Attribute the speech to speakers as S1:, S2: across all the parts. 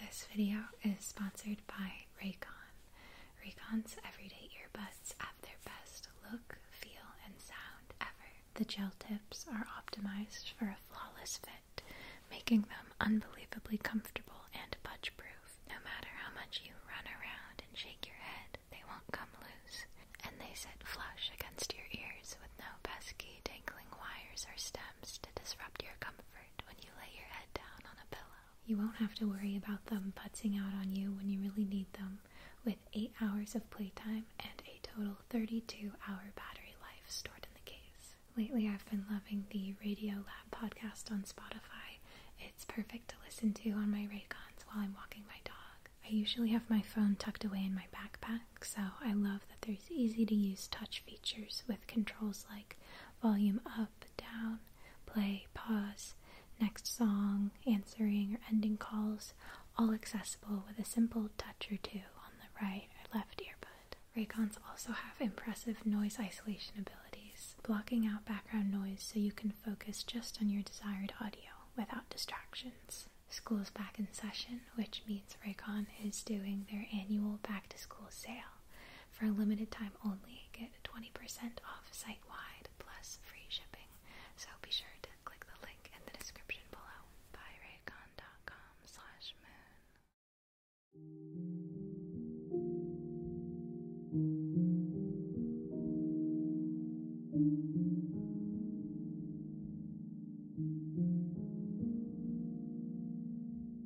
S1: This video is sponsored by Raycon. Raycon's everyday earbuds have their best look, feel, and sound ever. The gel tips are optimized for a flawless fit, making them unbelievably comfortable and budge proof. No matter how much you run around and shake your head, they won't come loose, and they sit flush against your ears with no pesky dangling wires or stems to disrupt your comfort when you lay your head down on a pillow. You won't have to worry about them putzing out on you when you really need them with 8 hours of playtime and a total 32 hour battery life stored in the case. Lately, I've been loving the Radio Lab podcast on Spotify. It's perfect to listen to on my Raycons while I'm walking my dog. I usually have my phone tucked away in my backpack, so I love that there's easy to use touch features with controls like volume up, down, play, pause, next song, answering or ending calls, all accessible with a simple touch or two on the right or left earbud. Raycons also have impressive noise isolation abilities, blocking out background noise so you can focus just on your desired audio without distractions. School's back in session, which means Raycon is doing their annual back to school sale. For a limited time only, get 20% off site wide plus free shipping. So be sure to click the link in the description below. Buy moon.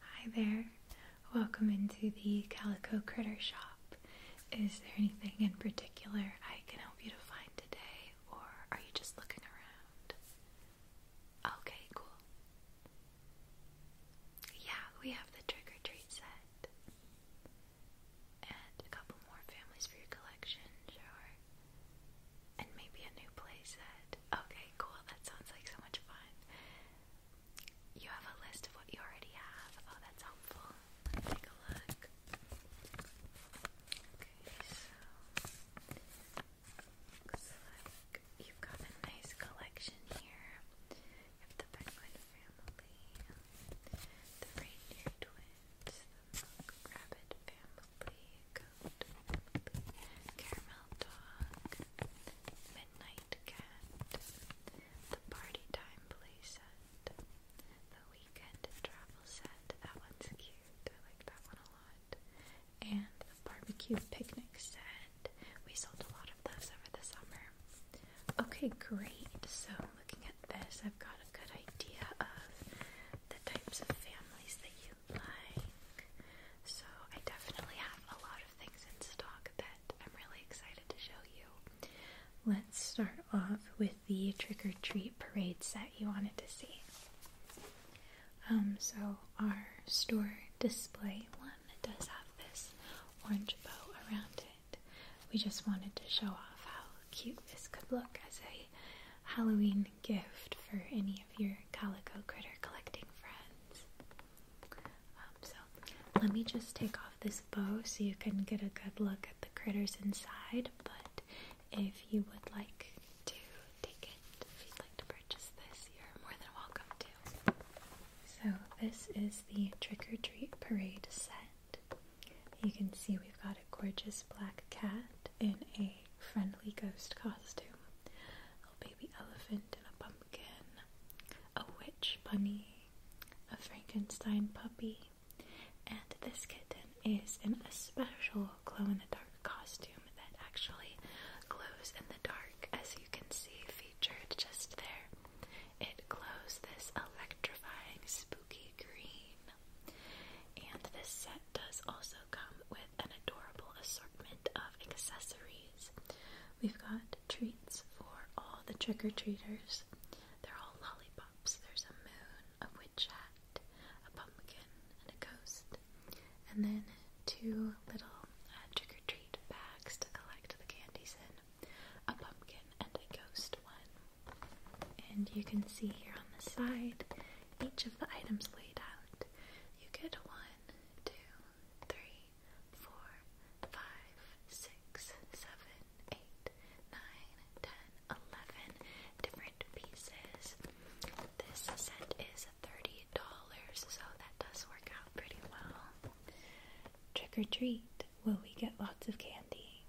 S1: Hi there. Welcome into the Calico Critter Shop. Is there anything in particular I can help you to find today, or are you just looking around? Okay, cool. Yeah, we have the trick or treat set and a couple more families for your collection, sure. And maybe a new playset. Okay, cool. That sounds like so much fun. You have a list of what you already have. Oh, that's helpful. Let's take a look. Okay, so looks like you've got a nice collection here of the penguin family, um, the reindeer twins, the monk rabbit family, goat family, caramel dog, midnight cat, the party time play set, the weekend travel set. That one's cute. I like that one a lot. And the barbecue picnic set. We sold a lot of those over the summer. Okay, great. So, looking at this, I've got a good idea of the types of families that you like. So, I definitely have a lot of things in stock that I'm really excited to show you. Let's start off with the trick or treat parade set you wanted to see. Um, so, our store display one does have this orange bow around it. We just wanted to show off how cute this could look as a Halloween gift for any of your calico critter collecting friends. Um, so, let me just take off this bow so you can get a good look at the critters inside. But if you would like to take it, if you'd like to purchase this, you're more than welcome to. So, this is the Trick or Treat Parade set. You can see we've got a gorgeous black cat in a friendly ghost costume, a baby elephant and a pumpkin, a witch bunny, a Frankenstein puppy, and this kitten is in a special glow-in-the-dark costume that actually glows in the dark, as you can see featured just there. It glows this electric electrifying spooky green. And this set does also come with an adorable assortment of accessories. We've got treats for all the trick or treaters. They're all lollipops. There's a moon, a witch hat, a pumpkin, and a ghost. And then two little uh, trick or treat bags to collect the candies in a pumpkin, and a ghost one. And you can see here on the side each of the items laid out. You get one, two, three, four, five, six, seven, eight, nine, ten, eleven different pieces. This set is thirty dollars, so that does work out pretty well. Trick or treat will we get lots of candy?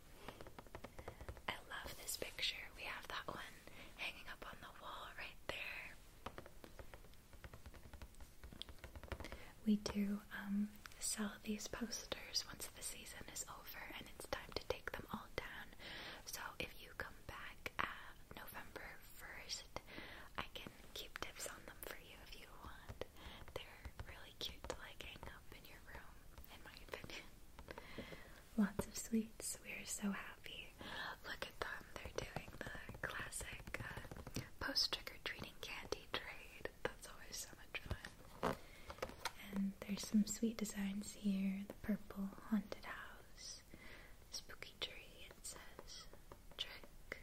S1: I love this picture. We have that one hanging up on the wall right there. We do um, sell these posters once the season is over and it's time to take them all down. So if you come back at November 1st, I can keep tips on them for you if you want really cute to like hang up in your room, in my opinion. Lots of sweets. We're so happy. Look at them. They're doing the classic uh, post trick or treating candy trade. That's always so much fun. And there's some sweet designs here. The purple haunted house, spooky tree. It says trick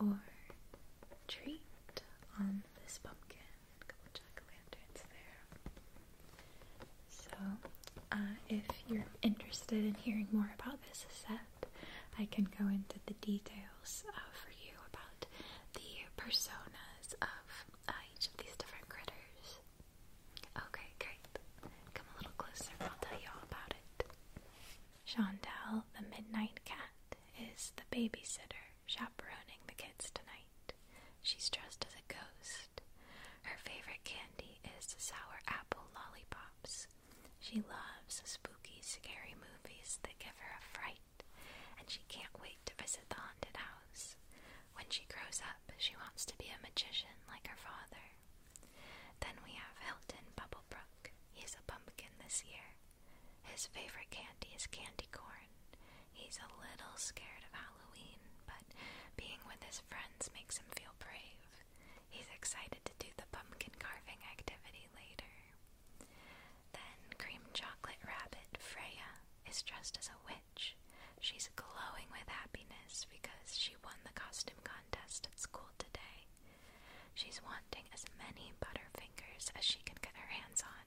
S1: or treat on this pumpkin a couple jack-o'-lanterns there. So, uh, if you're interested in hearing more about this set, I can go into the details uh, for you about the personas of uh, each of these different critters. Okay, great. Come a little closer, I'll tell you all about it. Shondell, the Midnight Cat, is the babysitter chaperoning the kids tonight. She's dressed as a ghost. Her favorite candy is sour apple lollipops. She loves spooky, scary movies that give her a fright, and she can't wait to visit the haunted house. When she grows up, she wants to be a magician like her father. Then we have Hilton Bubblebrook. He's a pumpkin this year. His favorite candy is candy corn. He's a little scared of Halloween, but being with his friends makes him feel brave. He's excited to do the pumpkin carving activity later. Then, cream chocolate rabbit Freya is dressed as a witch. She's glowing with happiness because she won the costume contest at school today. She's wanting as many Butterfingers as she can get her hands on.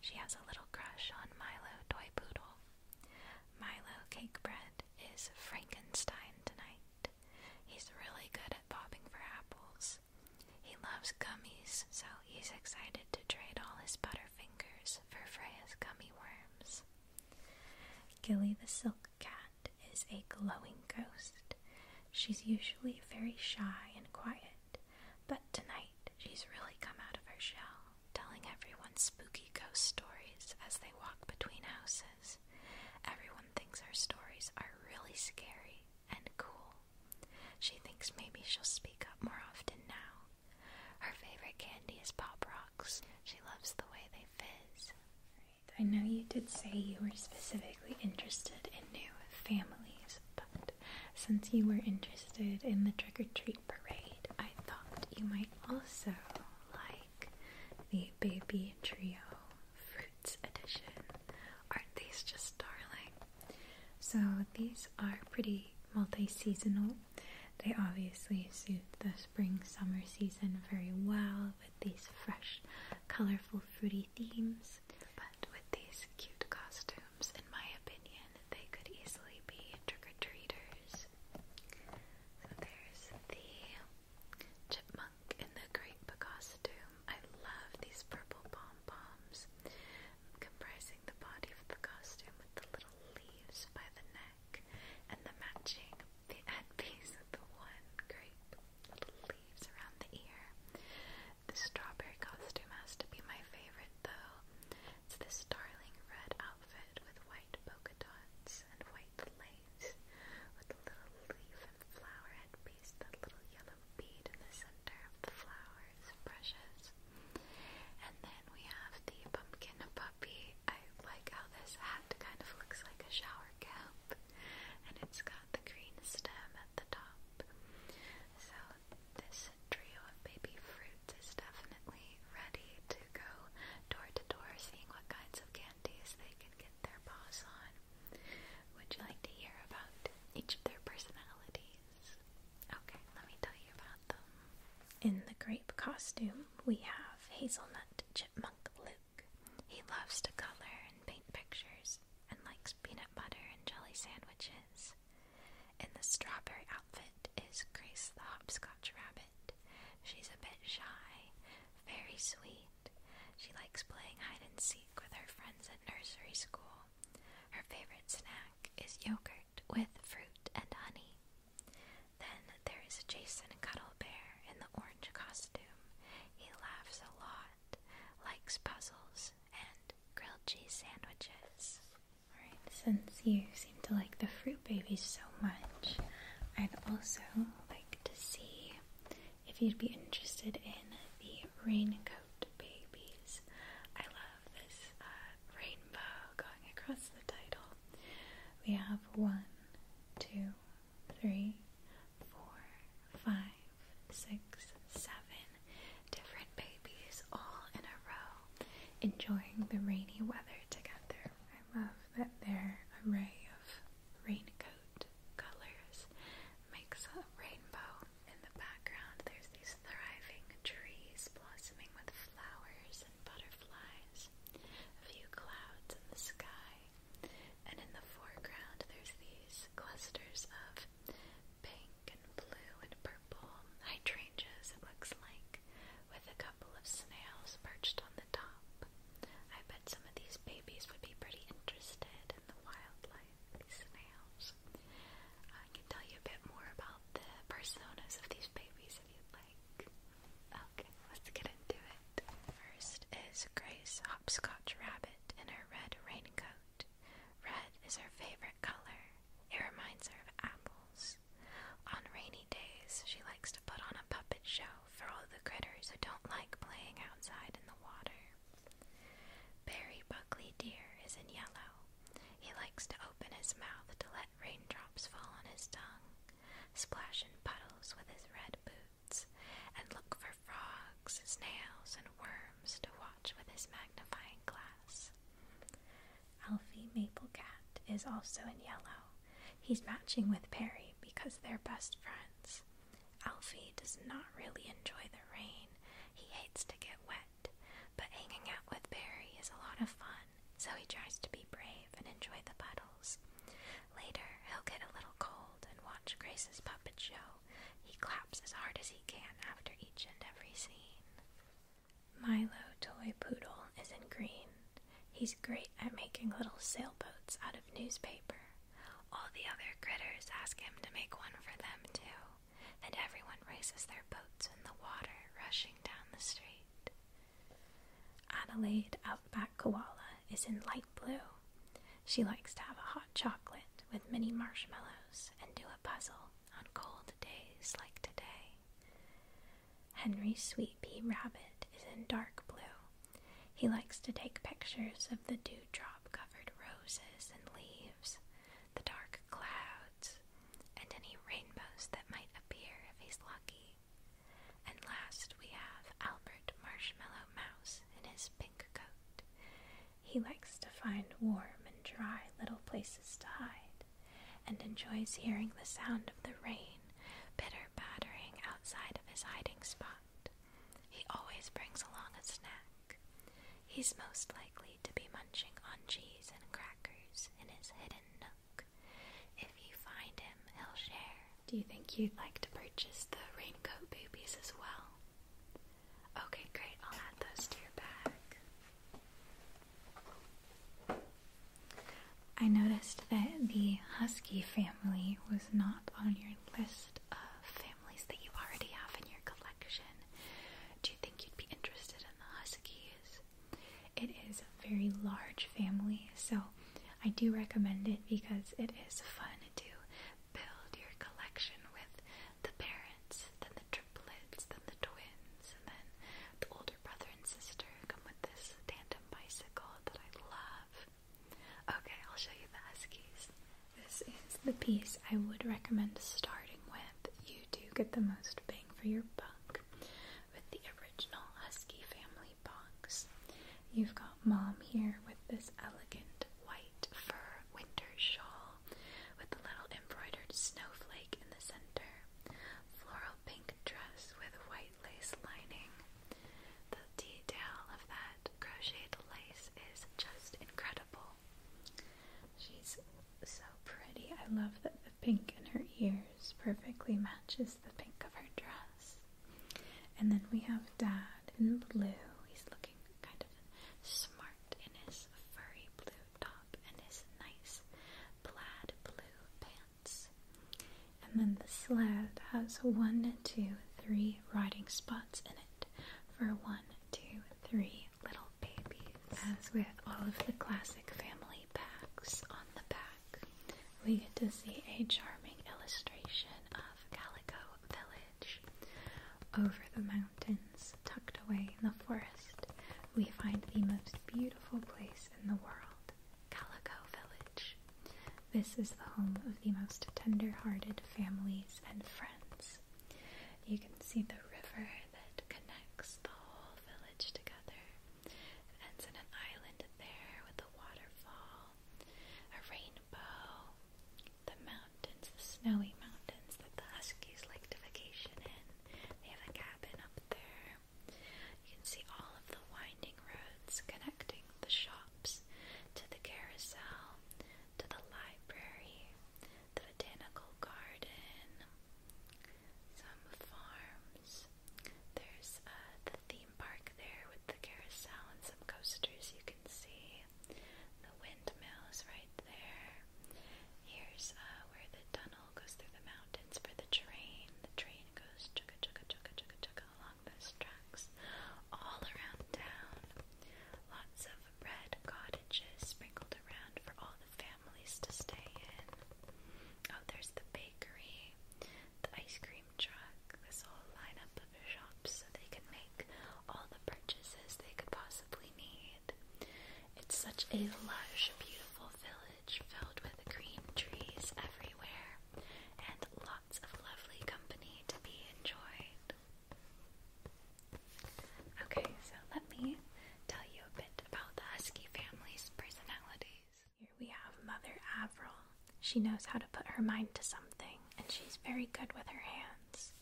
S1: She has a little crush on Milo Toy Poodle. Milo Cake Bread is Frankenstein tonight. He's really good at popping for apples. He loves gummies, so he's excited to trade all his butter fingers for Freya's gummy worms. Gilly the Silk Cat is a glowing ghost. She's usually very shy and quiet, but tonight, she's really come out of her shell, telling everyone spooky ghost stories as they walk between houses. Everyone thinks her stories are really scary and cool. She thinks maybe she'll speak up more often now. Her favorite candy is Pop Rocks. She loves the way they fizz. I know you did say you were specifically interested in new families, but since you were interested in the trick or treat parade, I thought you might also like the Baby Trio Fruits Edition. Aren't these just darling? So, these are pretty multi seasonal. They obviously suit the spring summer season very well with these fresh, colorful, fruity themes with these cute costumes, in my opinion, they could easily be trick-or-treaters. there's the chipmunk in the grape costume. I love these purple pom-poms comprising the body of the costume with the little leaves by the neck and the matching the headpiece with the one grape little leaves around the ear. The strawberry costume has to be my favorite though. It's this darling red outfit with white polka dots and white lace with a little leaf and flower headpiece, that little yellow bead in the center of the flowers, brushes. And then we have the pumpkin puppy. I like how this hat kind of looks like a shower cap and it's got the green stem at the top. So this trio of baby fruits is definitely ready to go door to door seeing what kinds of candies they can get their paws on. Would you like to hear about each of their personalities? Okay, let me tell you about them. In the grape costume, we have Hazelnut Chipmunk Luke. He loves to color and paint pictures and likes peanut butter and jelly sandwiches. Christmas. In the strawberry outfit is Grace the Hopscotch Rabbit. She's a bit shy, very sweet. She likes playing hide and seek with her friends at nursery school. Her favorite snack is yogurt with fruit and honey. Then there is Jason Cuddle Bear in the orange costume. He laughs a lot, likes puzzles, and grilled cheese sandwiches. Alright, since you seem to like the fruit babies so much, I'd also like to see if you'd be interested in the raincoat babies. I love this uh, rainbow going across the title. We have one, two, three, four, five five, six, seven different babies all in a row enjoying the rainy weather together. I love that their array of raincoat colors makes a rainbow. In the background, there's these thriving trees blossoming with flowers and butterflies, a few clouds in the sky, and in the foreground, there's these clusters of pink and blue and purple hydrangeas, it looks like, with a couple of snails perched on the top. I bet some of these babies would be pretty interested in the wildlife, snails. Uh, I can tell you a bit more about the personas of these babies if you'd like. Okay, let's get into it. First is Grace Hopscotch Rabbit in her red raincoat. Red is her favorite color. It reminds her of apples. On rainy days, she likes to put on a puppet show for all the critters who don't like playing outside in the water. Barry Buckley Deer is in yellow. He likes to open his mouth to let raindrops fall on his tongue, splash in puddles with his red boots, and look for frogs, snails, and worms to watch with his magnifying glass. Alfie Maplecat is also in yellow. He's matching with Perry because they're best friends. Alfie does not really enjoy the rain. He hates to get wet, but hanging out with Perry is a lot of fun, so he tries to be brave and enjoy the puddles. Later, he'll get a little cold and watch Grace's puppet show he claps as hard as he can after each and every scene. Milo Toy Poodle is in green. He's great at making little sailboats out of newspaper. All the other critters ask him to make one for them, too, and everyone races their boats in the water, rushing down the street. Adelaide Outback Koala is in light blue. She likes to have a hot chocolate with mini marshmallows and do a puzzle on cold days like today. Henry's sweet pea rabbit is in dark blue. He likes to take pictures of the dewdrop covered roses and leaves, the dark clouds, and any rainbows that might appear if he's lucky. And last we have Albert Marshmallow Mouse in his pink coat. He likes to find warm and dry little places to hide, and enjoys hearing the sound of the rain bitter battering outside of his hiding spot. He always brings along a snack. He's most likely to be munching on cheese and crackers in his hidden nook. If you find him, he'll share. Do you think you'd like to purchase the raincoat babies as well? Okay, great. I'll add those to your bag. I noticed that the Husky family was not on your list of families that you already have in your collection. Do you think you'd be interested in the Huskies? It is a very large family, so I do recommend it because it is fun to build your collection with the parents, then the triplets, then the twins, and then the older brother and sister come with this tandem bicycle that I love. Okay, I'll show you the Huskies. This is the piece I would recommend starting with. You do get the most bang for your buck with the original Husky family box. You've got mom here with this elegant white fur winter shawl with a little embroidered snowflake in the center, floral pink dress with white lace lining. The detail of that crocheted lace is just incredible. She's so pretty. I love that the pink in her ears perfectly matches the pink of her dress. And then we have Dad in blue. He's looking kind of smart in his furry blue top and his nice plaid blue pants. And then the sled has one, two, three riding spots in it for one, two, three little babies. As with all of the classic family packs on the back, we get to see a charming illustration of Calico Village. Over the mountains, tucked away in the forest, we find the most beautiful place in the world, Calico Village. This is the home of the most tender-hearted families and friends. You can see the river that connects the whole village together. And ends in an island there with a waterfall, a rainbow, the mountains the snowy mountains that the Huskies like to vacation in. They have a cabin up there. You can see all of the winding roads connecting the shops to the carousel, to the library, the botanical garden, some farms. There's uh, the theme park there with the carousel and some coasters you can see. The windmill is right there. Here's uh, where the tunnel goes through the mountains for the train. The train goes chugga chugga chugga chugga chugga along those tracks all around town. Lots of red cottages sprinkled around for all the families to stay in. Oh, there's the bakery, the ice cream truck, this whole lineup of shops so they can make all the purchases they could possibly need. It's such a lush, beautiful village filled with green trees everywhere and lots of lovely company to be enjoyed. Okay, so let me tell you a bit about the Husky family's personalities. Here we have Mother Avril. She knows how to put her mind to something, and she's very good with her hands.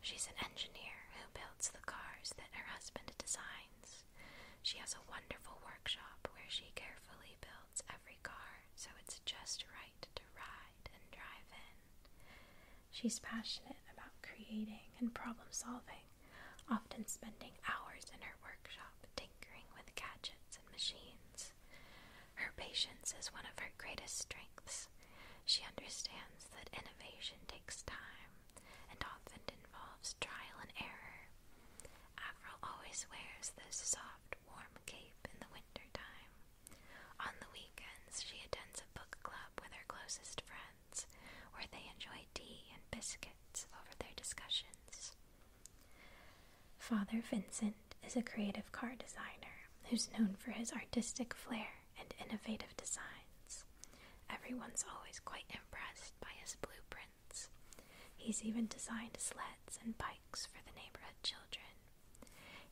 S1: She's an engineer who builds the cars that her husband designs. She has a wonderful workshop where she carefully builds every car so it's just right to ride and drive in. She's passionate about creating and problem solving, often spending hours in her workshop tinkering with gadgets and machines. Her patience is one of her greatest strengths, she understands that innovation takes time and often involves trial and error. Avril always wears this soft, warm cape in the winter time. On the weekends, she attends a book club with her closest friends, where they enjoy tea and biscuits over their discussions. Father Vincent is a creative car designer who's known for his artistic flair and innovative designs. Everyone's always quite impressed by his blueprints. He's even designed sleds and bikes for the neighborhood children.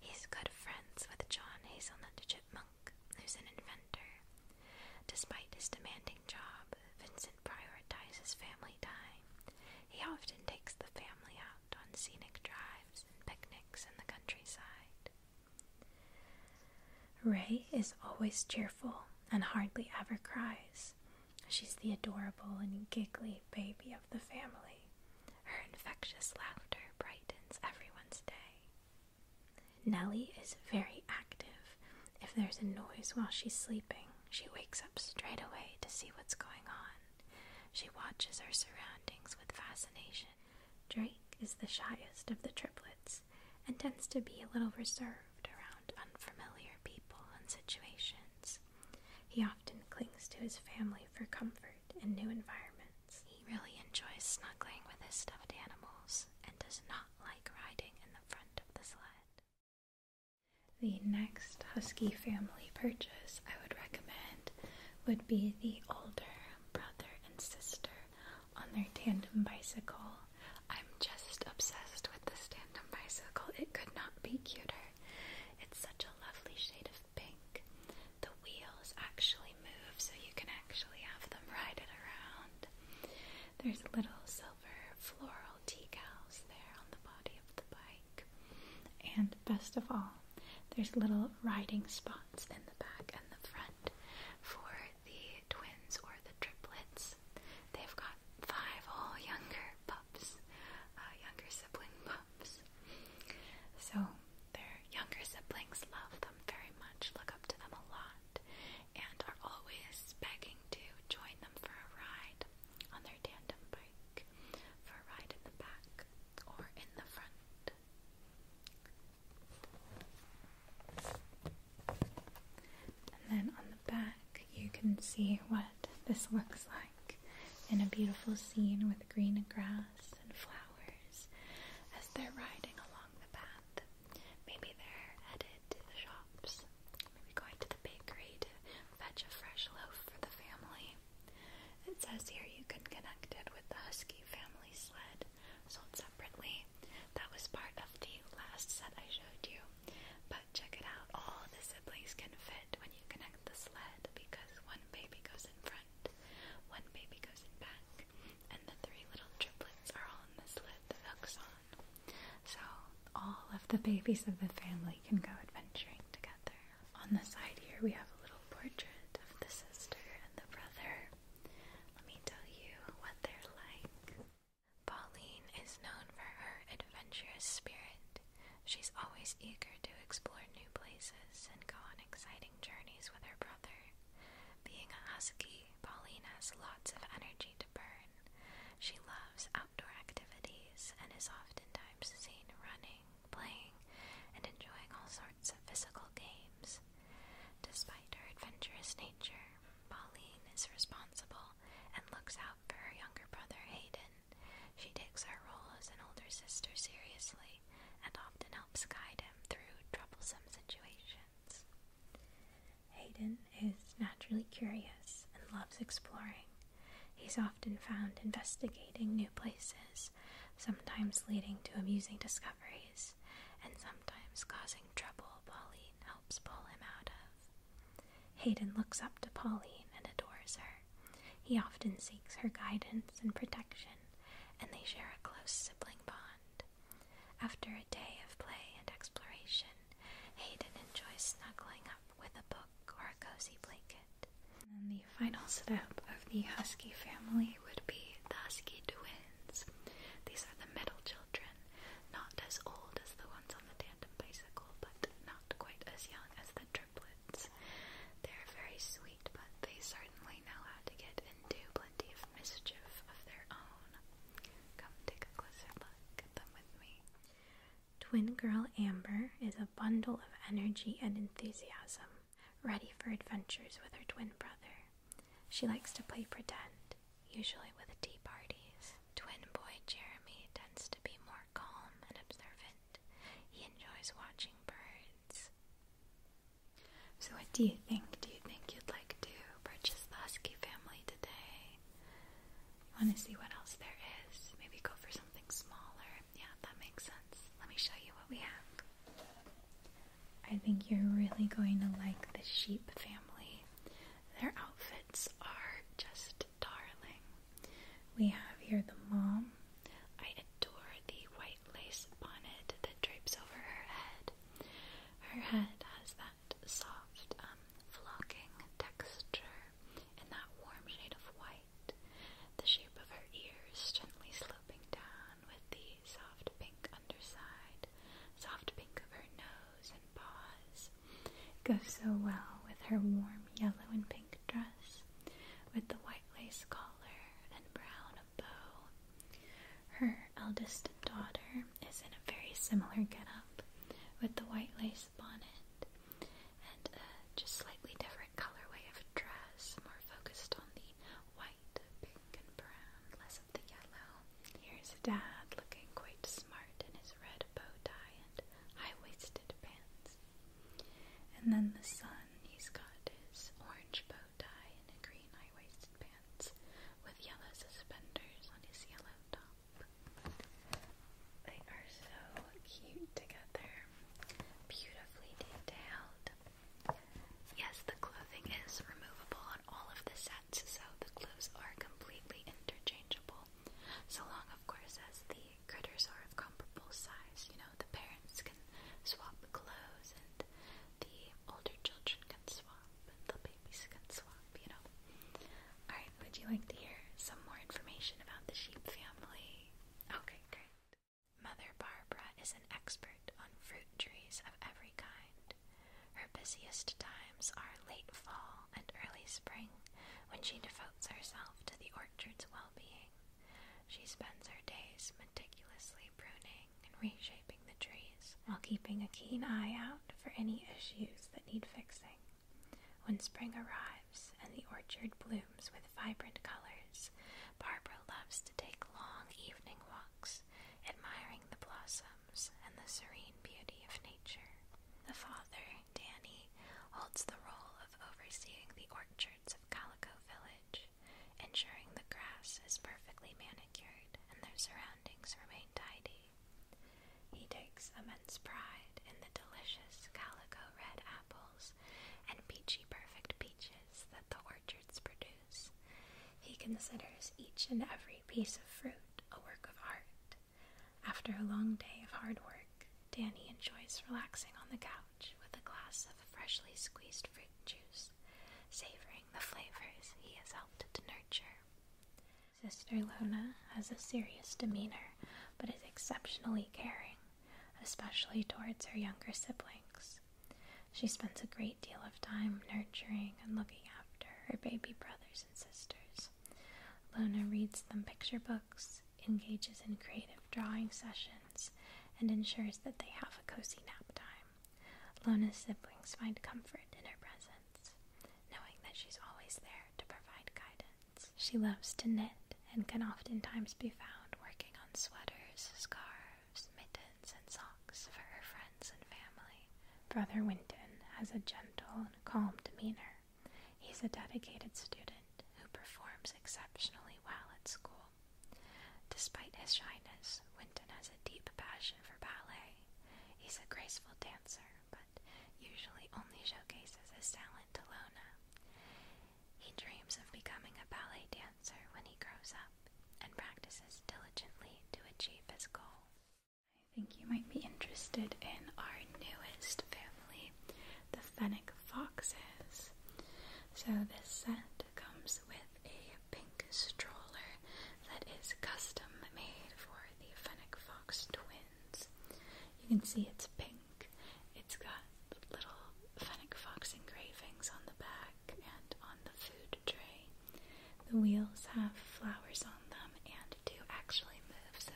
S1: He's good friends with John Hazelnut Chipmunk, who's an inventor. Despite his demanding job, Vincent prioritizes family time. He often takes the family out on scenic drives and picnics in the countryside. Ray is always cheerful and hardly ever cries. She's the adorable and giggly baby of the family. Her infectious laughter brightens everyone's day. Nellie is very active. If there's a noise while she's sleeping, she wakes up straight away to see what's going on. She watches her surroundings with fascination. Drake is the shyest of the triplets and tends to be a little reserved around unfamiliar people and situations. He often clings to his family for comfort in new environments. He really enjoys snuggling with his stuffed animals and does not like riding in the front of the sled. The next husky family purchase I would recommend would be the older brother and sister on their tandem bicycle. I'm just obsessed with this tandem bicycle. It could not be cuter. It's such a lovely shade of pink. The wheels actually move, so you can actually have them ride it around. There's little silver floral decals there on the body of the bike. And best of all, there's little riding spots in the back and the front for the twins or the triplets. They've got five all younger pups, uh, younger sibling pups. So their younger siblings love them very much, look up to them a lot, and are always begging to join them for a ride on their tandem bike, for a ride in the back or in the front. And then on the back, you can see what this looks like in a beautiful scene with green grass and flowers as they're riding along the path. Maybe they're headed to the shops, maybe going to the bakery to fetch a fresh loaf for the family. It says here you can connect it with the Husky family sled, so it's separately. That was part of the last set I showed you. But check it out, all the siblings can fit when you connect the sled because one baby goes in front, one baby goes in back, and the three little triplets are all in the sled The hooks on. So all of the babies of the family can go adventuring together. On the side here, we have a little portrait of the sister and the brother. Let me tell you what they're like. Pauline is known for her adventurous spirit. She's always eager to explore new places and go on exciting journeys with her brother. Being a husky, Pauline has lots of energy to burn. She loves outdoor activities and is oftentimes seen running, playing, and enjoying all sorts of physical games. Despite her adventurous nature, Pauline is responsible and looks out for her younger brother Hayden. She takes her role as an older sister seriously and often helps guide him through troublesome situations. Hayden is naturally curious and loves exploring. He's often found investigating new places, sometimes leading to amusing discoveries and sometimes causing trouble Pauline helps pull him out of. Hayden looks up to Pauline and adores her. He often seeks her guidance and protection, and they share a close sibling bond. After a day of play and exploration, Hayden enjoys snuggling up with a book or a cozy blanket. And the final setup of the Husky family would be the Husky twins. These are the middle children, not as old as the ones on the tandem bicycle, but not quite as young as the triplets. They're very sweet, but they certainly know how to get into plenty of mischief of their own. Come take a closer look at them with me. Twin girl Amber is a bundle of energy and enthusiasm ready for adventures with her twin brother. She likes to play pretend, usually with tea parties. Twin boy Jeremy tends to be more calm and observant. He enjoys watching birds. So, what do you think? Do you think you'd like to purchase the Husky family today? want to see what else there is? Maybe go for something smaller. Yeah, that makes sense. Let me show you what we have. I think you're really going to like the sheep family. Their outfits are just darling. We have here the mom. I adore the white lace bonnet that drapes over her head. Her head has that soft, um, flocking texture and that warm shade of white. The shape of her ears gently slips down with the soft pink underside, soft pink of her nose and paws. It goes so well with her warm yellow and pink dress, with the white lace collar and brown bow. Her eldest daughter is in a very similar getup with the white lace bonnet and just slightly different colorway of dress, more focused on the white, pink, and brown less of the yellow. Here's Dad looking quite smart in his red bow tie and high waisted pants. And then the son, he's got his orange bow tie and green high waisted pants with yellow suspenders on his yellow top. They are so cute together, beautifully detailed. Yes, the clothing is removable on all of the sets, so the clothes are completely interchangeable. So long, of course, as the critters are comparable size. You know, the parents can swap clothes, and the older children can swap, the babies can swap, you know. Alright, would you like to hear some more information about the sheep family? Okay, great. Mother Barbara is an expert on fruit trees of every kind. Her busiest times are late fall and early spring, when she devotes herself to the orchard's well being. She spends her days meticulously pruning and reshaping the trees, while keeping a keen eye out for any issues that need fixing. When spring arrives and the orchard blooms with vibrant colors, Barbara loves to take long evening walks admiring the blossoms and the serene beauty of nature. The father, Danny, holds the role of overseeing the orchards of Calico Village, ensuring the grass is perfectly manicured and their surroundings remain tidy. He takes immense pride in the delicious calico red apples and peachy perfect peaches that the orchards produce. He considers each and every piece of fruit a work of art. After a long day of hard work, Danny enjoys relaxing on the couch with a glass of freshly squeezed fruit juice, savoring the flavors he has helped to nurture. Sister Lona has a serious demeanor, but is exceptionally caring, especially towards her younger siblings. She spends a great deal of time nurturing and looking after her baby brothers and sisters. Lona reads them picture books, engages in creative drawing sessions, and ensures that they have a cozy nap time. Lona's siblings find comfort in her presence, knowing that she's always there to provide guidance. She loves to knit and can oftentimes be found working on sweaters, scarves, mittens, and socks for her friends and family. Brother Winton has a gentle and calm demeanor. He's a dedicated student who performs exceptionally well at school. Despite his shyness, Winton has a deep passion for ballet. He's a graceful dancer, but usually only showcases his talent to Lona. He dreams of becoming a ballet dancer when he grows up and practices diligently to achieve his goal. I think you might be interested in our newest family, the fennec foxes. So, this set comes with a pink stroller that is custom made for the fennec fox twins. You can see it's pink, it's got little fennec fox engravings on the back and on the food the wheels have flowers on them and do actually move, so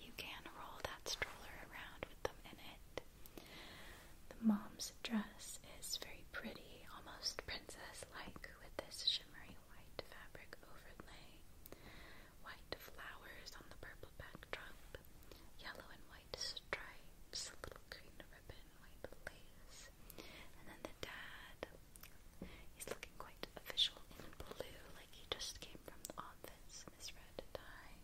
S1: you can roll that stroller around with them in it. The mom's dress is very pretty, almost princess like, with this shimmery white fabric overlay, white flowers on the purple backdrop, yellow and white stripes, little green ribbon and white lace. And then the dad, he's looking quite official in blue, like he just came from the office in red tie.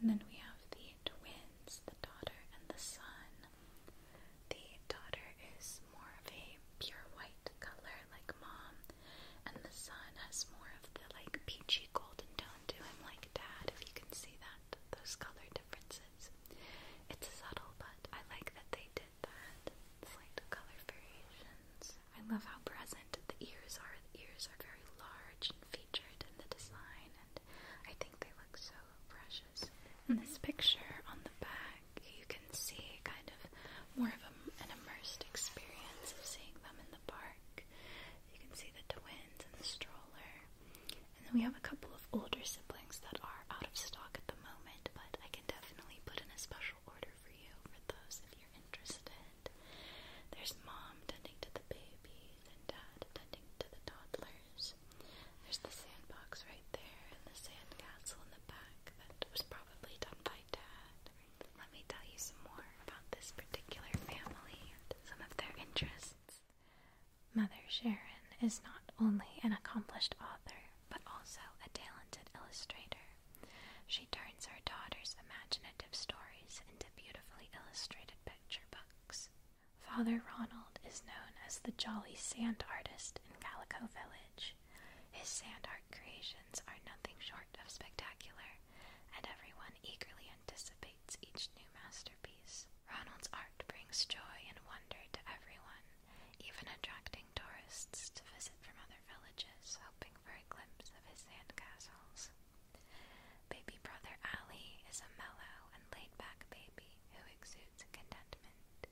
S1: And then we have the twins, the daughter and the son. The daughter is more of a pure white color, like mom, and the son has more of the like peachy golden tone to him, like dad, if you can see that, those color differences necklace. It's subtle, but I like that they did that. Slight color variations. I love how present the ears are. The ears are very large and featured in the design, and I think they look so precious. In this picture on the back, you can see kind of more of a, an immersed experience of seeing them in the park. You can see the twins and the stroller. And then we have a couple of older siblings that are out of stock at the moment, but I can definitely put in a special order for you for those if you're interested. There's mom tending to the babies and dad tending to the toddlers. There's the sandbox right there and the sand castle in the back that was probably done by dad. Let me tell you some more about this particular family and some of their interests. Mother Sharon is not only an accomplished author, but also a talented illustrator. She turns her daughter's imaginative stories into beautifully illustrated picture books. Father Ronald is known as the Jolly Sand Artist in Calico Village. His sand art creations are nothing short of spectacular, and everyone eagerly anticipates each new masterpiece. Ronald's art brings joy and wonder to everyone, even attracting tourists to visit from other villages, hoping for a glimpse of his sandcastles. Baby brother Ali is a mellow and laid-back baby who exudes contentment.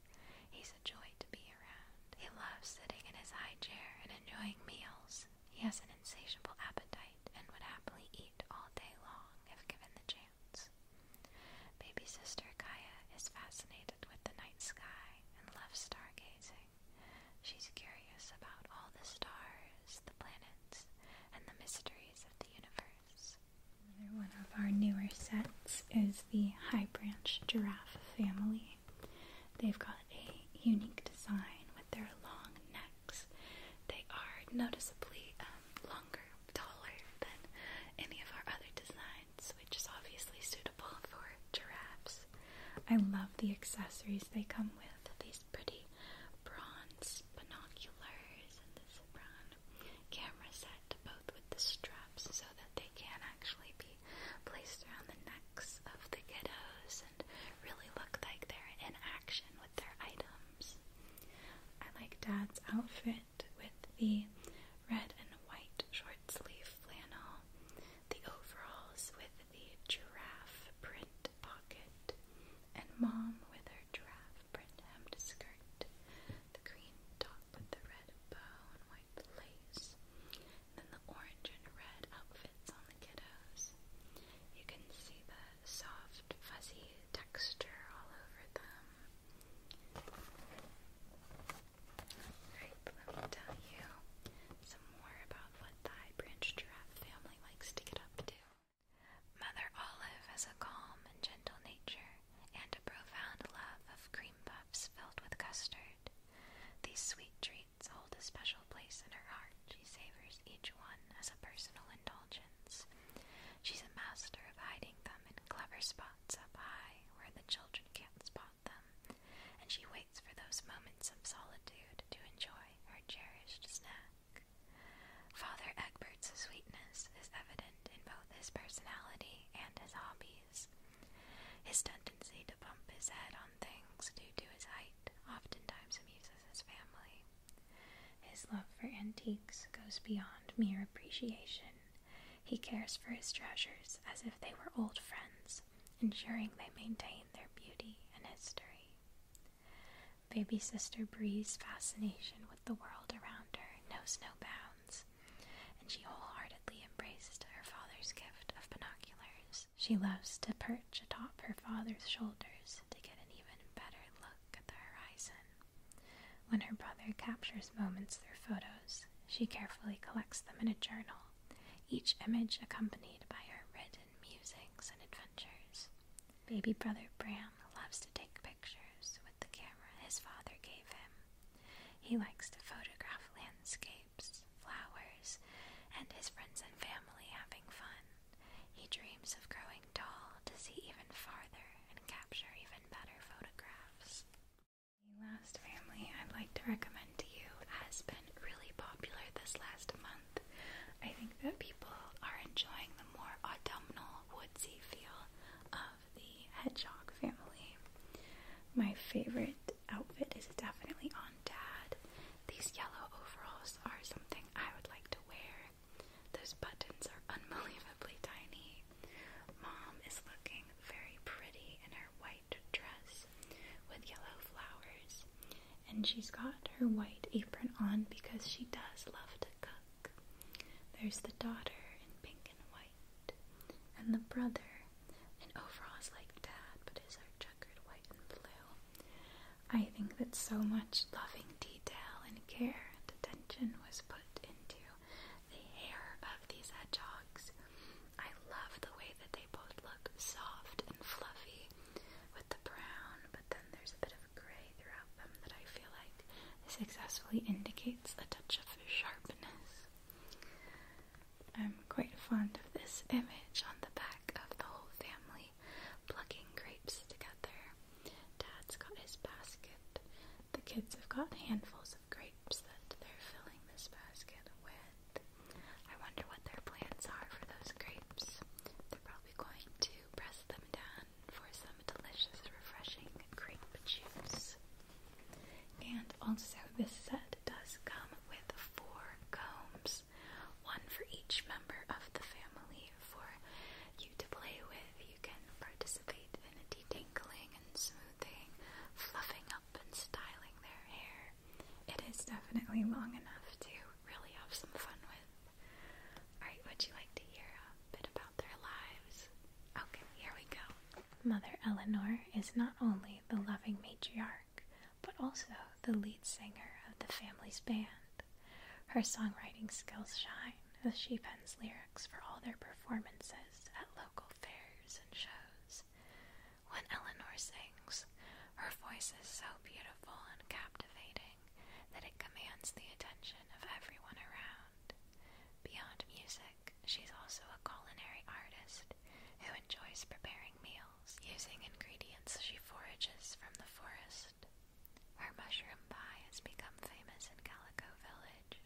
S1: He's a joy to be around. He loves sitting in his high chair and enjoying meals. He has an insatiable appetite and would happily eat all day long if given the chance. Baby sister Kaya is fascinated with the night sky and loves stargazing. She's curious about all the stars, the planets, and the mysteries of the universe. Another one of our newer sets is the High Branch Giraffe family. They've got a unique design with their long necks. They are noticeably um, longer taller than any of our other designs, which is obviously suitable for giraffes. I love the accessories they come with, these pretty bronze binoculars and this brown camera set, both with the straps so that they can actually be placed around the necks of the kiddos and really look like they're in action with their items. I like Dad's outfit with the red and white short sleeve flannel, the overalls with the giraffe print pocket, and mom with her giraffe print hemmed skirt, the green top with the red bow and white lace, then the orange and red outfits on the kiddos. You can see the soft, fuzzy texture all over them let me tell you some more about what the high branch giraffe family likes to get up to. Mother Olive has a calm and gentle nature and a profound love of cream puffs filled with custard. These sweet treats hold a special place in her heart. She savors each one as a personal indulgence. She's a master of hiding them in clever spots up high where the children can't spot them, and she waits for those moments of solitude to enjoy her cherished snack. Father Egbert's sweetness is evident in both his personality and his hobbies. His tendency to bump his head on things due to his height oftentimes amuses his family. His love for antiques goes beyond mere appreciation he cares for his treasures as if they were old friends, ensuring they maintain their beauty and history. Baby sister Bree's fascination with the world around her knows no bounds, and she wholeheartedly embraces her father's gift of binoculars. She loves to perch atop her father's shoulders to get an even better look at the horizon. When her brother captures moments through photos, she carefully collects them in a journal, each image accompanied by her written musings and adventures. Baby brother Bram loves to take pictures with the camera his father gave him. He likes to photograph landscapes, flowers, and his friends and family having fun. He dreams of growing tall to see even farther and capture even better photographs. The last family I'd like to recommend to you has been really popular this last month. I think that people are enjoying the more autumnal, woodsy feel of the hedgehog family. My favorite outfit is definitely on Dad. These yellow overalls are something I would like to wear. Those buttons are unbelievably tiny. Mom is looking very pretty in her white dress with yellow flowers, and she's got her white apron on because she does love to cook. There's the daughter in pink and white, and the brother in overalls like Dad, but his are checkered white and blue. I think that so much loving detail and care and attention was put into the hair of these hedgehogs. I love the way that they both look soft and fluffy with the brown, but then there's a bit of gray throughout them that I feel like successfully indicates a touch of sharpness. I'm quite fond of this image on the back of the whole family plucking grapes together. Dad's got his basket. The kids have got handfuls of grapes that they're filling this basket with. I wonder what their plans are for those grapes. They're probably going to press them down for some delicious, refreshing grape juice. And also, this set does come with four combs, one for each member of the family for you to play with, can participate in detangling and smoothing, fluffing up and styling their hair. It is definitely long enough to really have some fun with. Alright, would you like to hear a bit about their lives? Okay, here we go. Mother Eleanor is not only the loving matriarch, but also the lead singer of the family's band. Her songwriting skills shine as she Sheepens lyrics for all their performances at local fairs and shows. When Eleanor sings, her voice is so beautiful and captivating that it commands the attention of everyone around. Beyond music, she's also a culinary artist who enjoys preparing meals using ingredients she forages from the forest. Her mushroom pie has become famous in Calico Village,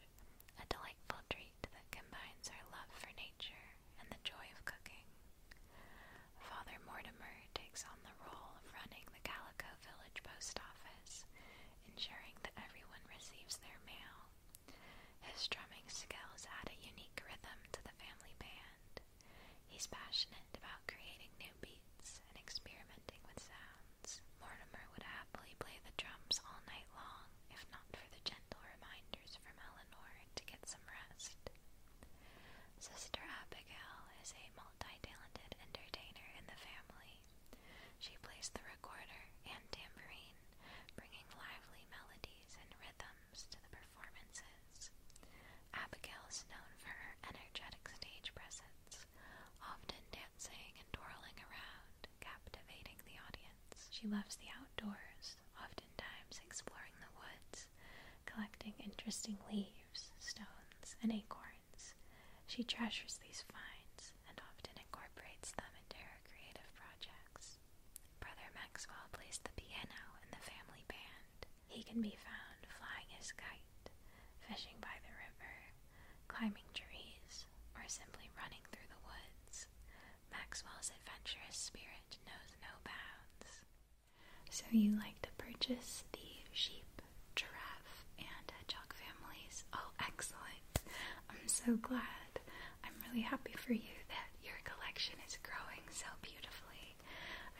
S1: a delightful treat that combines our love for nature and the joy of cooking. Father Mortimer takes on the role of running the Calico Village Post Office, ensuring that everyone receives their mail. His drumming skills add a unique rhythm to the family band. He's passionate about creating new beats and experimenting with sound sounds, Mortimer would happily play the drums all night long, if not for the gentle reminders from Eleanor to get some rest. Sister Abigail is a multi-talented entertainer in the family. She plays the recorder and tambourine, bringing lively melodies and rhythms to the performances. Abigail is known for her energetic stage presence, often dancing and twirling around, captivating the audience. She loves the outdoors, oftentimes exploring the woods, collecting interesting leaves, stones, and acorns. She treasures these finds and often incorporates them into her creative projects. Brother Maxwell plays the piano in the family band. He can be found flying his kite, fishing by the river, climbing trees, or simply running through the woods, Maxwell's adventurous spirit knows no bounds. So you like to purchase the sheep, giraffe, and hedgehog families. Oh, excellent. I'm so glad. I'm really happy for you that your collection is growing so beautifully.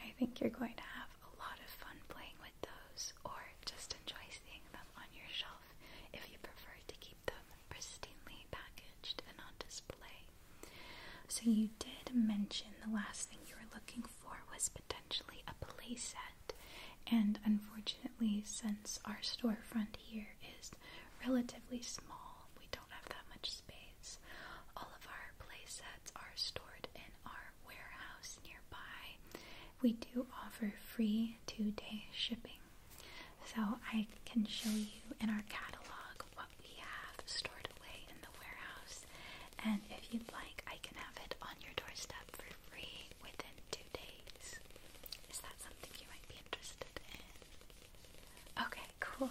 S1: I think you're going to have a lot of fun playing with those or just enjoy seeing them on your shelf if you prefer to keep them pristinely packaged and on display. So, you did mention the last thing you were looking for was potentially a playset, and unfortunately, since our storefront here is relatively small, we don't have that much space. All of our playsets are stored in our warehouse nearby, we do offer free two day shipping. So I can show you in our catalog what we have stored away in the warehouse. And if you'd like, I can have it on your doorstep for free within two days. Is that something you might be interested in? Okay, cool.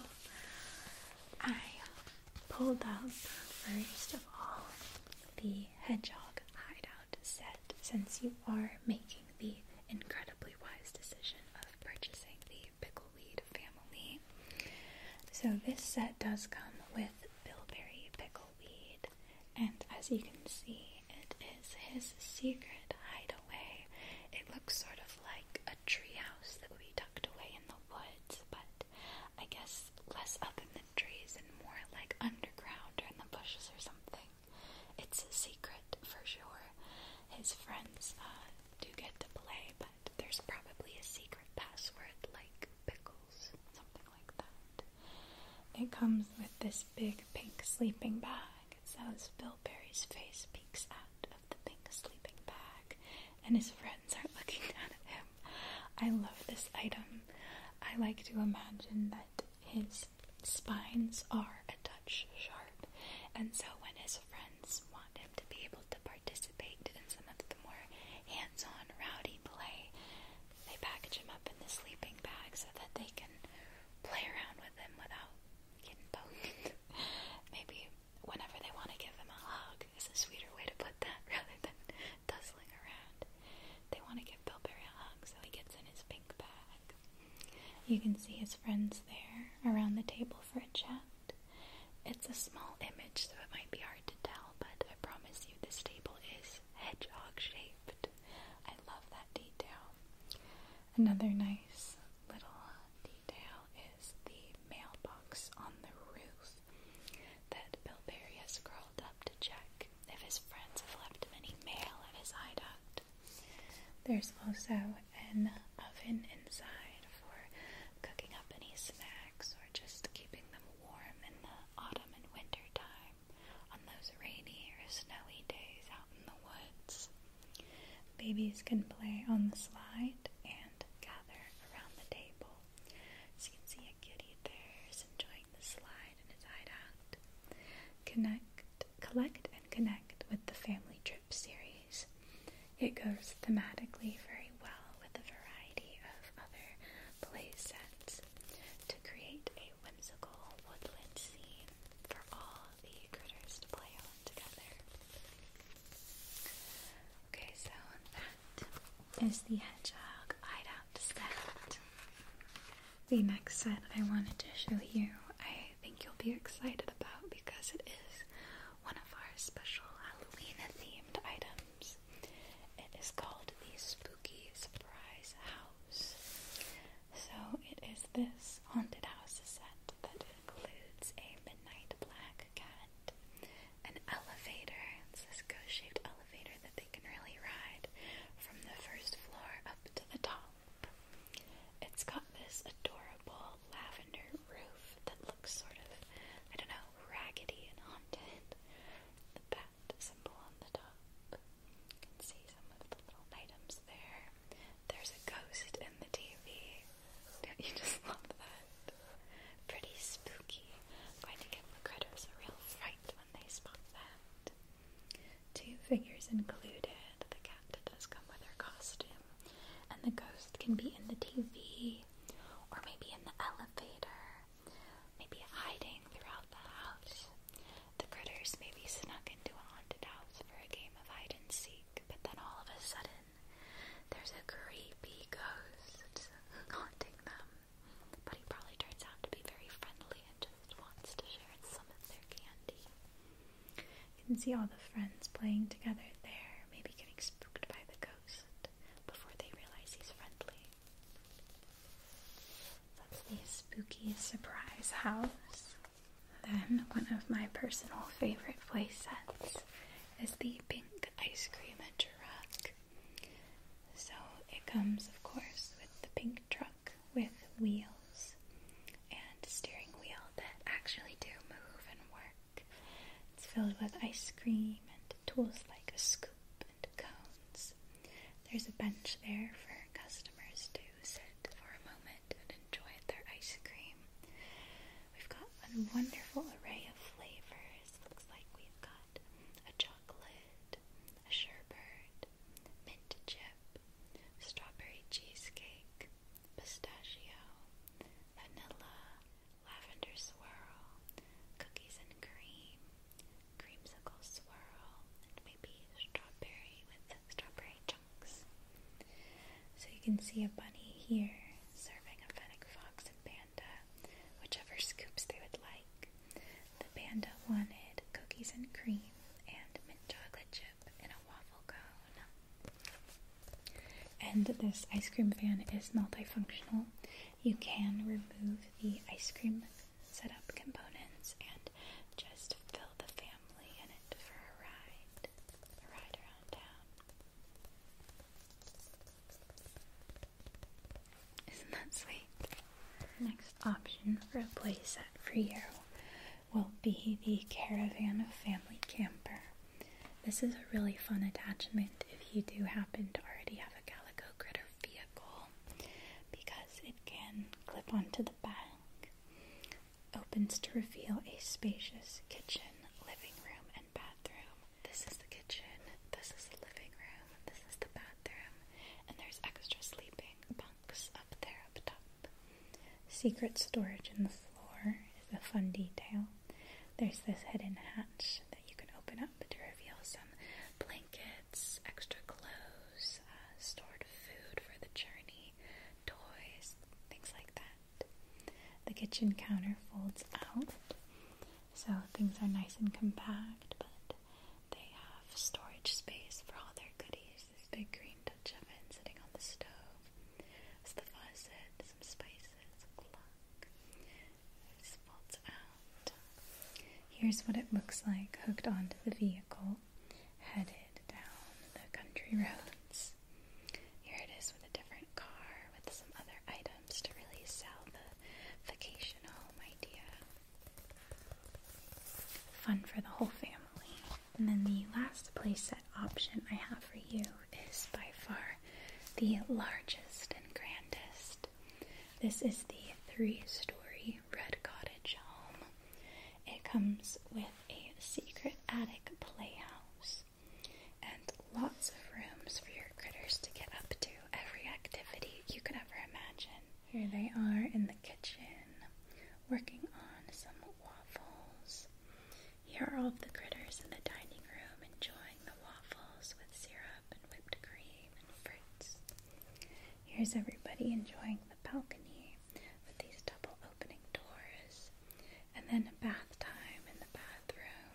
S1: I pulled up first of all the hedgehog hideout set since you are making the incredibly wise decision of purchasing the pickleweed family. So this set does come with Billberry pickleweed and as you can see it is his secret hideaway. It looks sort of like a treehouse that would be tucked away in the woods but I guess less up in the trees and more like underground or in the bushes or something. It's a secret for sure. His friends uh, do get to play, but there's probably a secret password like pickles, something like that. It comes with this big pink sleeping bag. It says Bilberry's face peeks out of the pink sleeping bag, and his friends are looking down at him. I love this item. I like to imagine that his spines are a touch sharp, and so when his friends want him to be able to participate in some of the more hands on, rowdy play, they package him up in the sleeping bag so that they can play around with him without getting poked. Maybe whenever they want to give him a hug is a sweeter way to put that rather than tussling around. They want to give Bilberry a hug, he gets in his pink bag. You can see his friends there around the table for a chat. It's a small image, so it might be hard to tell, but I promise you this table is hedgehog shaped. I love that detail. Another nice little detail is the mailbox on the roof that Bill has crawled up to check if his friends have left him any mail at his hideout. There's also an oven inside for cooking up any snacks or just keeping them warm in the autumn and winter time on those rainy or snowy days out in the woods. Babies can play on the slide and gather around the table. So you can see a kitty there is enjoying the slide and its hideout. Connect, collect and connect with the family trip series. It goes thematically very well with a variety of other play sets to create a whimsical woodland scene for all the critters to play on together. Okay, so that is the hedgehog hideout set the next set I wanted to show you, I think you'll be excited about because it is one of our special Halloween themed items. It is called the Spooky Surprise House. So it is this haunted house set that includes a midnight black cat, an elevator, it's this ghost shaped elevator that they can really ride from the first floor up to the top. It's got this adorable lavender roof that looks sort of, I don't know, raggedy and haunted. The bat symbol on the top. You can see some of the little items there. There's a ghost in the TV. do you just love that? Pretty spooky. I'm going critters a real fright when they spot that. Two figures included. The cat does come with her costume, and the ghost can be in the TV, or maybe in the elevator, maybe hiding throughout the house. The critters may be snuck into a haunted house for a game of hide and seek, but then all of a sudden, there's a creepy ghost haunting them. But he probably turns out to be very friendly and just wants to share some of their candy. You can see all the friends playing together there, maybe getting spooked by the ghost before they realize he's friendly. That's the spooky surprise house. Then, one of my personal favorite play sets is the pink ice cream adventure rack. So, it comes, of course, with the pink truck with wheels and steering wheel that actually do move and work. It's filled with ice cream and tools like a scoop and cones. There's a bench there for customers to sit for a moment and enjoy their ice cream. We've got a wonderful array of flavors. Looks like we've got a chocolate, a sherbet, mint chip chip, strawberry cheesecake, pistachio, vanilla, lavender swirl, cookies and cream, creamsicle swirl, and maybe strawberry with strawberry chunks. So you can see a bunny here serving a fennec fox and panda, whichever scoops they would like. The panda wanted cookies and cream and mint chocolate chip and a waffle cone. And this ice cream van is multifunctional. You can remove the ice cream setup components and just fill the family in it for a ride, a ride around town. Isn't that sweet? Next option for a playset for you will be the Caravan of Family Camper. This is a really fun attachment if you do happen to already have a Calico Critter vehicle because it can clip onto the back, opens to reveal a spacious kitchen, living room, and bathroom. This is the kitchen, this is the living room, this is the bathroom, and there's extra sleeping bunk up there up top. Secret storage in the floor is a fun detail. There's this hidden hatch that you can open up to reveal some blankets, extra clothes, uh, stored food for the journey, toys, things like that. The kitchen counter folds out, so things are nice and compact, but they have storage space for all their goodies. This big green Dutch oven sitting on the stove. As some spices, clock. This folds out. Here's what it looks like hooked onto the vehicle, headed down the country roads. Here it is with a different car with some other items to really sell the vacation home oh, idea. Fun for the whole family. And then the last playset option I have for you is by far the largest and grandest. This is the three story red cottage home. It comes with a secret attic playhouse and lots of rooms for your critters to get up to every activity you could ever imagine. Here they are in the kitchen working on some waffles. Here are all of the critters in the dining room enjoying the waffles with syrup and whipped cream and fruits. Here's everybody enjoying the balcony with these double opening doors. And then a bath time in the bathroom.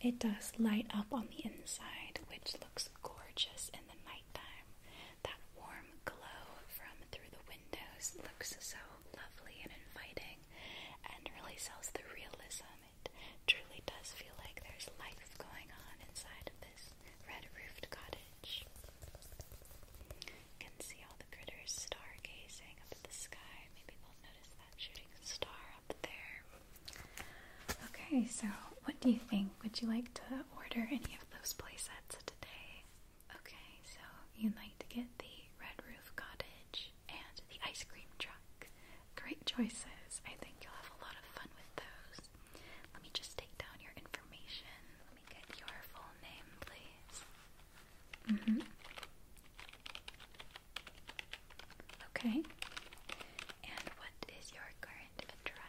S1: It does light up on the inside, which looks gorgeous in the night nighttime. That warm glow from through the windows looks so lovely and inviting and really sells the realism. It truly does feel like there's life going on inside of this red roofed cottage. You can see all the critters star gazing up at the sky. Maybe they'll notice that shooting star up there. Okay, so what do you think? Would you like to order any of those playsets today? Okay, so you'd like to get the Red Roof Cottage and the ice cream truck. Great choices. I think you'll have a lot of fun with those. Let me just take down your information. Let me get your full name, please. Mm-hmm. Okay. And what is your current address?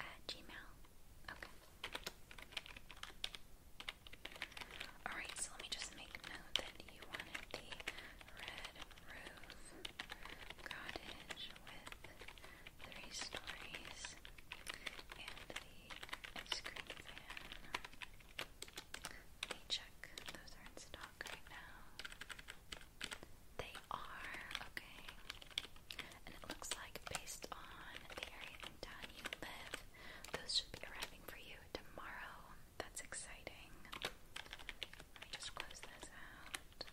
S1: At Gmail. Okay. Alright, so let me just make note that you wanted the red roof cottage with three stories and the ice Let me check. Those are installed. They are, okay. And it looks like based on the area in you live, those should be arriving for you tomorrow. That's exciting. Let me just close this out.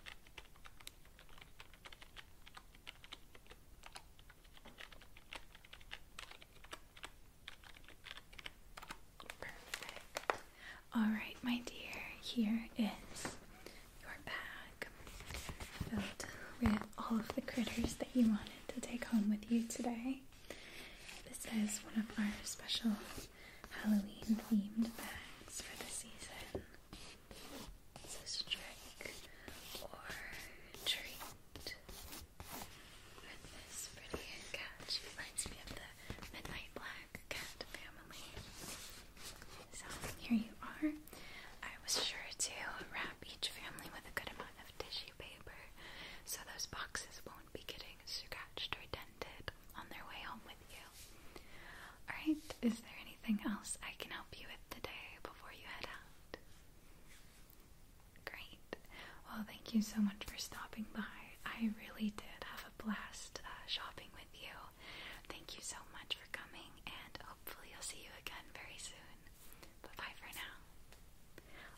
S1: Alright, my dear, here is your bag filled with all of the critters that you wanted to take home with you today. This is one of our special Halloween themed bags for the season. It's trick or treat. And this pretty catch reminds me of the Midnight Black Cat family. So here you are. I was sure to wrap each family with a good amount of tissue paper so those boxes won't be getting scratched or dented on their way home with you. Alright, is there anything else I can help you with today before you head out? Great. Well, thank you so much for stopping by. I really did have a blast uh, shopping with you. Thank you so much for coming, and hopefully, I'll see you again very soon. Bye bye for now.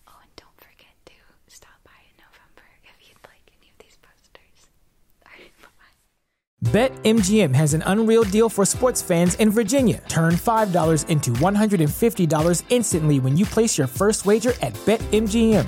S1: Oh, and don't forget to stop
S2: by in November if you'd like any of these posters. Alright, bye bye. BetMGM has an unreal deal for sports fans in Virginia. Turn $5 into $150 instantly when you place your first wager at BetMGM.